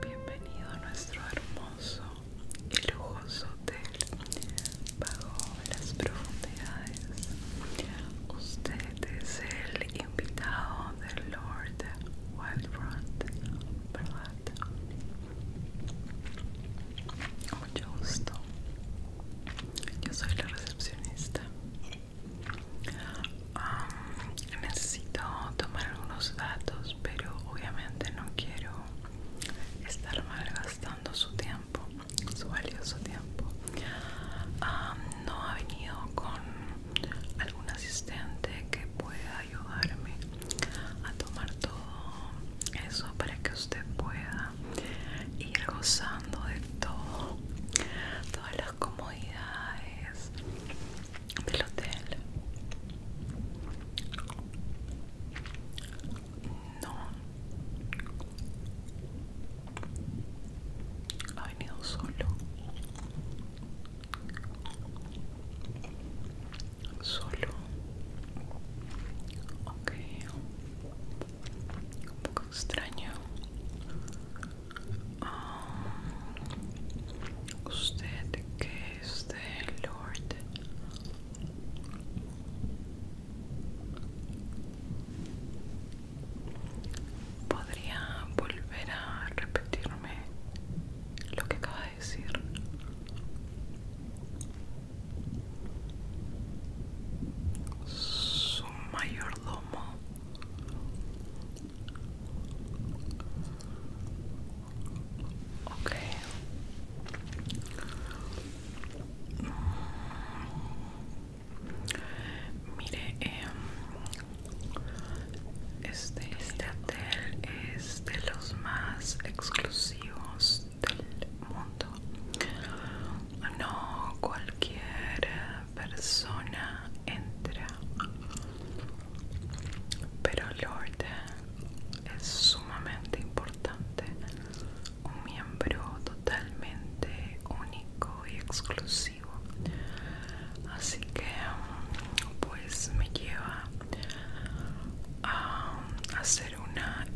Bienvenido a nuestro hermoso y lujoso hotel bajo las profundidades. Usted es el invitado del Lord de Wildfront, Front, ¿verdad? Mucho gusto. Yo soy la recepcionista. necesito tomar algunos datos, pero obviamente no quiero estar malgastando su tiempo, su valioso tiempo. no ha venido con algún asistente que pueda ayudarme a tomar todo eso para que usted pueda ir gozando de todo todas las comodidades del hotel no ha venido solo Solo. Ok. Un poco extraño. Ah, usted que es de Lord podría volver a repetirme lo que acaba de decir su mayordomo ok Mire, em, este hotel es de los más exclusivos del mundo. No cualquier persona entra, pero Lord es sumamente importante, un miembro totalmente único y exclusivo así que pues me lleva a hacer una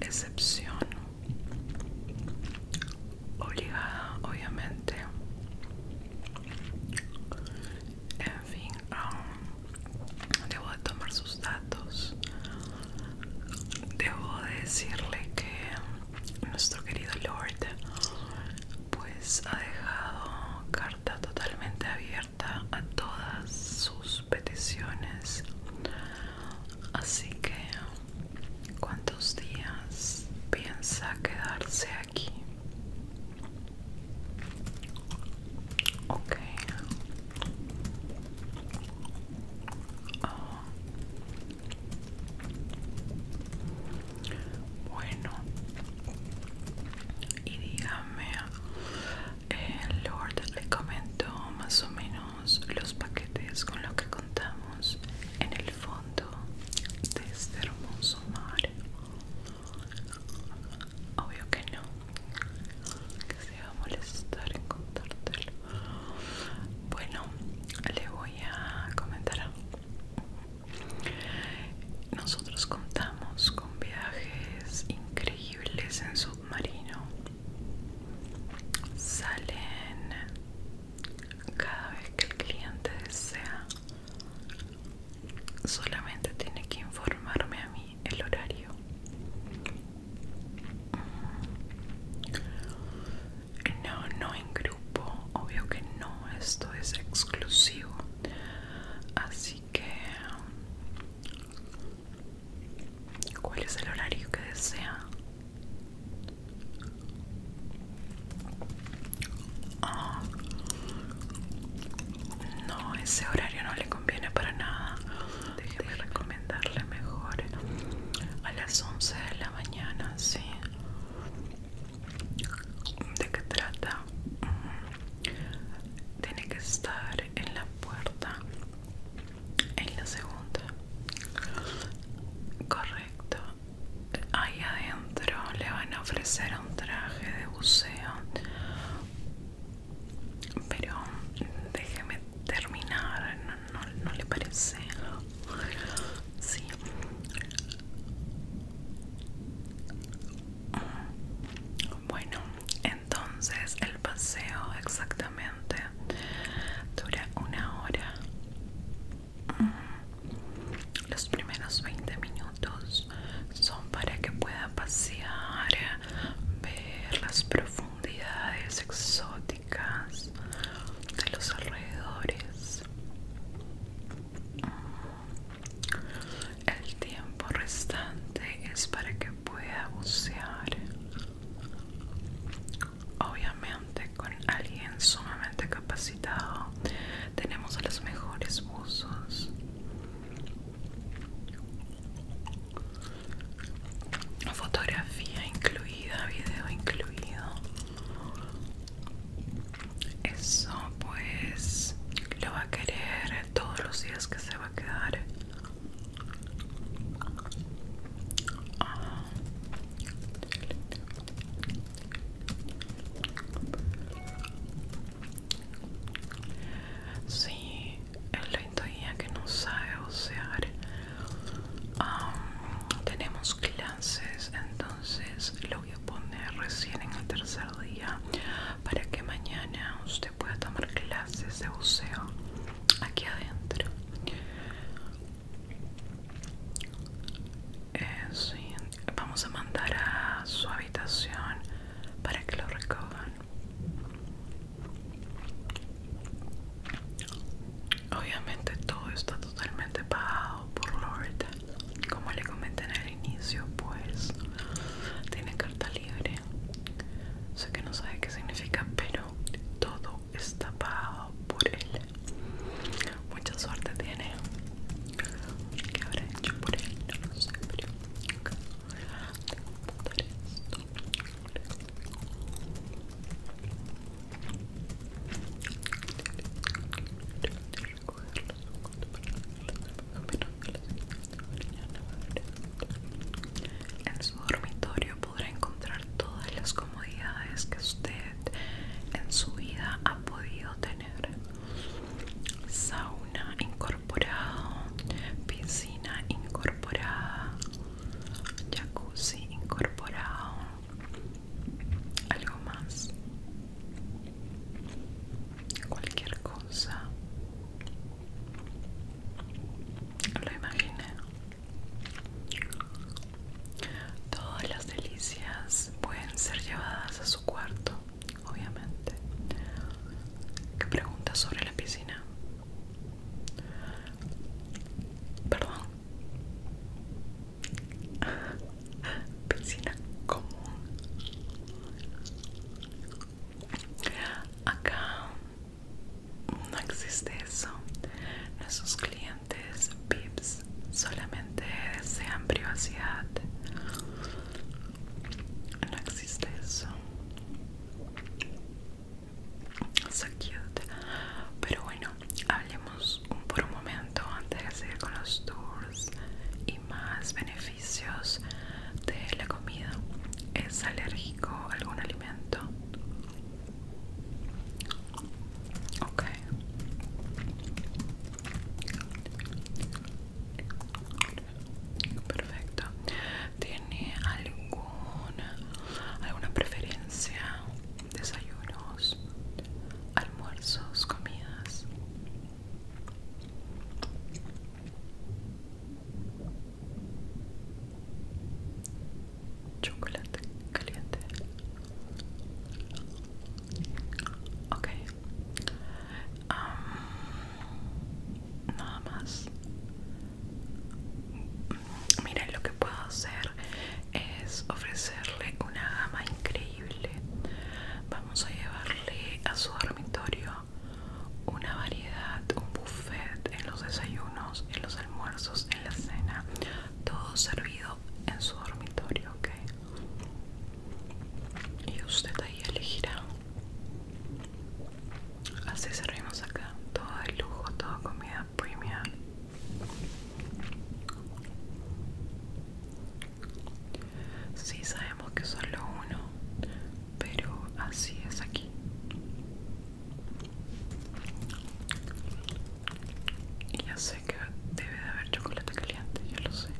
excepción obligada obviamente en fin um, debo de tomar sus datos debo decirle que nuestro querido Lord pues ha dejado carta totalmente abierta a todas sus peticiones así que cuántos días piensa quedarse aquí ok ah. Bueno, y dígame, eh, Lord le comentó más o menos los paquetes con los que contamos en el fondo de este hermoso mar. Obvio que no, que se va a molestar en contártelo. Bueno, le voy a comentar. Nosotros contamos con viajes increíbles en submarino. Salen cada vez que el cliente desea. Solamente tiene que informarme a mí el horario. No, no en grupo. Obvio que no, esto es exclusivo. Así que... ¿Cuál es el horario que desea? Ah, no, ese horario no le conviene para nada. Déjeme recomendar darle mejor a las 11 de la mañana, ¿sí? ¿De qué trata? Mm, tiene que estar en la puerta, en la segunda. Correcto. Ahí adentro le van a ofrecer un traje de buceo. Pero déjeme terminar, no, le parece sí bueno entonces el paseo exactamente dura una hora mm. los primeros 20 minutos son para que pueda pasear ver las profundidades profundidades exóticas de los alrededores. El tiempo restante es para que pueda bucear. Obviamente con alguien sumamente capacitado tenemos a los mejores buzos fotografía incluida, video incluido. Eso pues lo va a querer todos los días que se va a quedar. Sí, es la que no sabe tenemos clases entonces lo voy a poner recién en el tercer día para que mañana usted pueda tomar clases de buceo aquí adentro eh, vamos a mandar a su habitación para que lo recojan Obviamente todo está totalmente pagado por Lord. Como le comenté en el inicio, pues tiene carta libre. Sé que no sabe qué significa, pero todo está pagado por él. Mucha suerte tiene. ¿Qué por él? En su dormitorio podrá encontrar todas las comodidades que usted en su vida ha podido tener. Sauna incorporado, piscina incorporada, jacuzzi incorporado algo más cualquier cosa lo imaginé todas las delicias pueden ser llevadas a su cuarto obviamente que pregunta sobre la piscina Perdón. Piscina común. Acá no existe eso. Nuestros clientes pips solamente desean privacidad. No existe eso. So cute. Pero bueno, hablemos por un momento antes de seguir con los tours y más beneficios de la comida. ¿Es alérgico a algún alimento? Ok. Perfecto. ¿Tiene alguna alguna preferencia? Desayunos, almuerzos, comidas. Chocolate caliente. Ok nada más miren lo que puedo hacer es ofrecerle una gama increíble vamos a llevarle a su dormitorio una variedad un buffet en los desayunos en los almuerzos en la cena todo servido en su dormitorio ok y usted ahí elegirá Así servimos acá. Todo de lujo, toda comida premium. Sí, sabemos que solo uno, pero así es aquí. Y ya sé que debe de haber chocolate caliente, ya lo sé,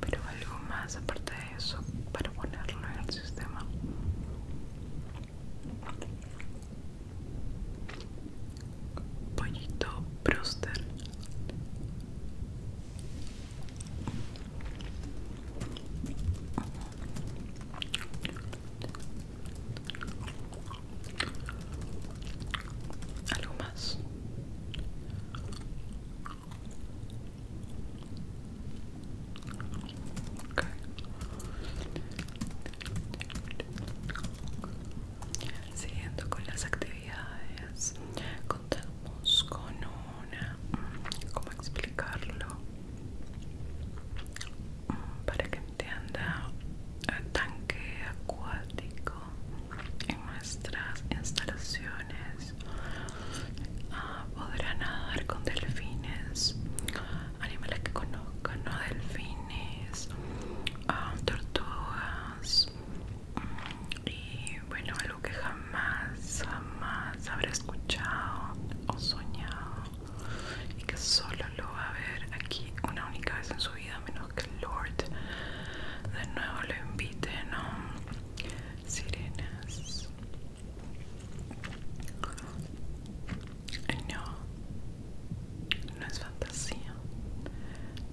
pero algo más aparte de eso para ponerlo en el sistema pollito proster. algo más Siguiendo con las actividades, contamos con una, mm, ¿cómo explicarlo? Mm, para que entienda, eh, tanque acuático en nuestras instalaciones Ah, podrá nadar con delfines, animales que conozcan, no delfines, ah, tortugas mm, y bueno, algo que jamás, jamás habrá escuchado o soñado y que solo lo va a ver aquí una única vez en su vida, menos que el Lord de nuevo lo invite, ¿no? sirenas. No, no es fantasía.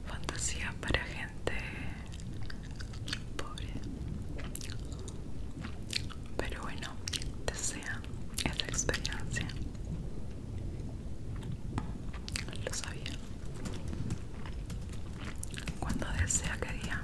Fantasía para gente pobre. Pero bueno, desea esa experiencia. Lo sabía. Cuando desea que día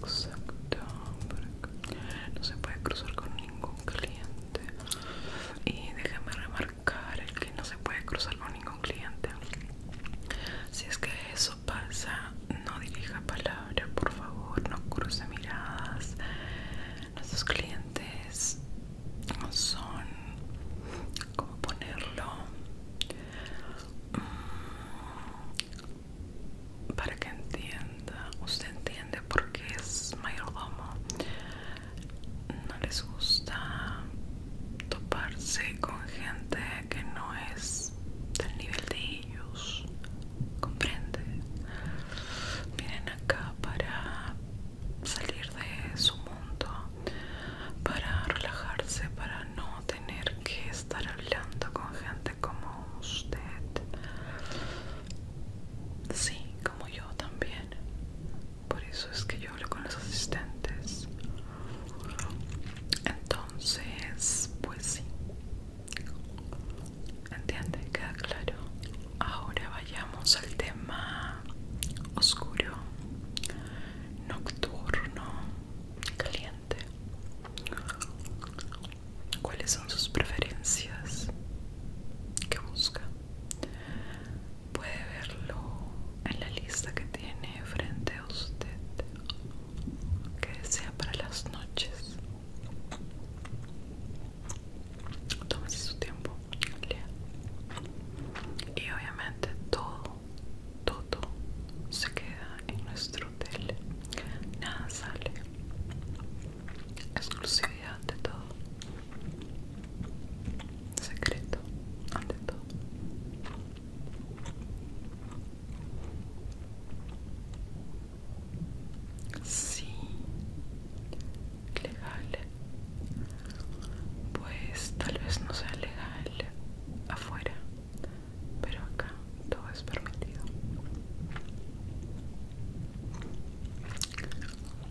Exacto, No se puede cruzar con ningún cliente. Y déjame remarcar el que no se puede cruzar con ningún cliente. Si es que eso pasa, no dirija palabra, por favor, no cruce miradas. Nuestros clientes son, ¿cómo ponerlo? Mm, para que entienda, usted entiende por qué es mayordomo. No les gusta toparse con gente que no es del nivel de ellos. Comprende. Vienen acá para salir de su mundo, para relajarse, para no tener que estar hablando con gente como usted. Sí, como yo también. Por eso es que yo hablo con los asistentes. Entonces, pues sí. ¿Entiende? Queda claro. Ahora vayamos al tema oscuro, nocturno, caliente. ¿Cuáles son sus preferencias? ¿Qué busca? Puede verlo en la lista que tiene frente a usted. ¿Qué desea para las noches? Tómese su tiempo, lea. Y obviamente todo todo se queda en nuestro hotel, nada sale, exclusividad de todo, secreto ante todo. Sí, legal. Pues tal vez no sea legal afuera, pero acá todo es permitido.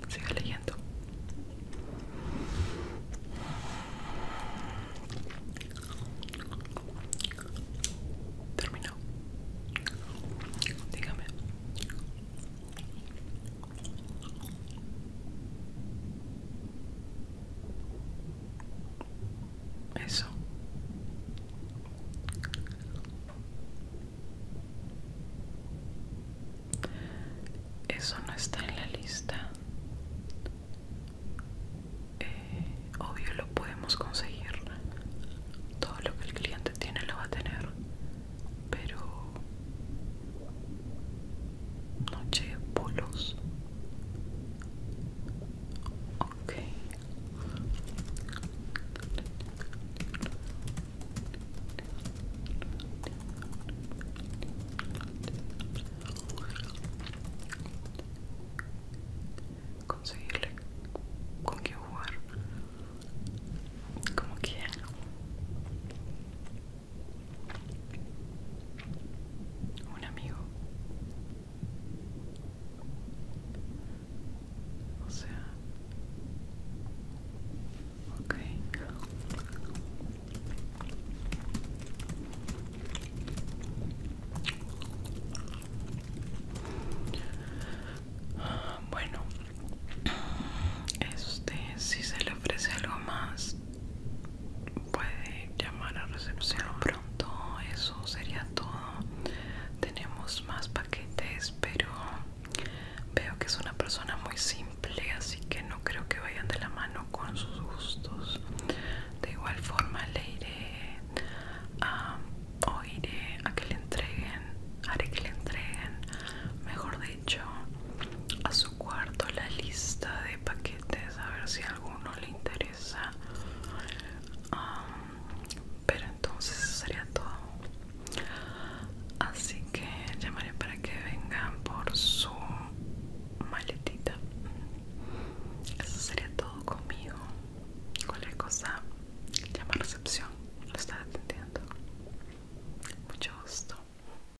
Sigue leyendo. Terminó. Dígame. Eso. Eso no está en la lista. Eh, obvio lo podemos conseguir. Todo lo que el cliente tiene lo va a tener. Pero noche de polos ok conseguirle con qué jugar como quien? un amigo. O sea, ok. Bueno, este, si se le ofrece algo más, puede llamar a recepción pronto eso sería todo tenemos más paquetes pero veo que es una persona muy simple así que no creo que vayan de la mano con sus gustos de igual forma le iré a, o iré a que le entreguen haré que le entreguen mejor hecho a su cuarto la lista de paquetes a ver si alguno le interesa pero entonces eso sería todo así que llamaré para que vengan por su maletita eso sería todo conmigo cualquier cosa llama recepción lo está atendiendo mucho gusto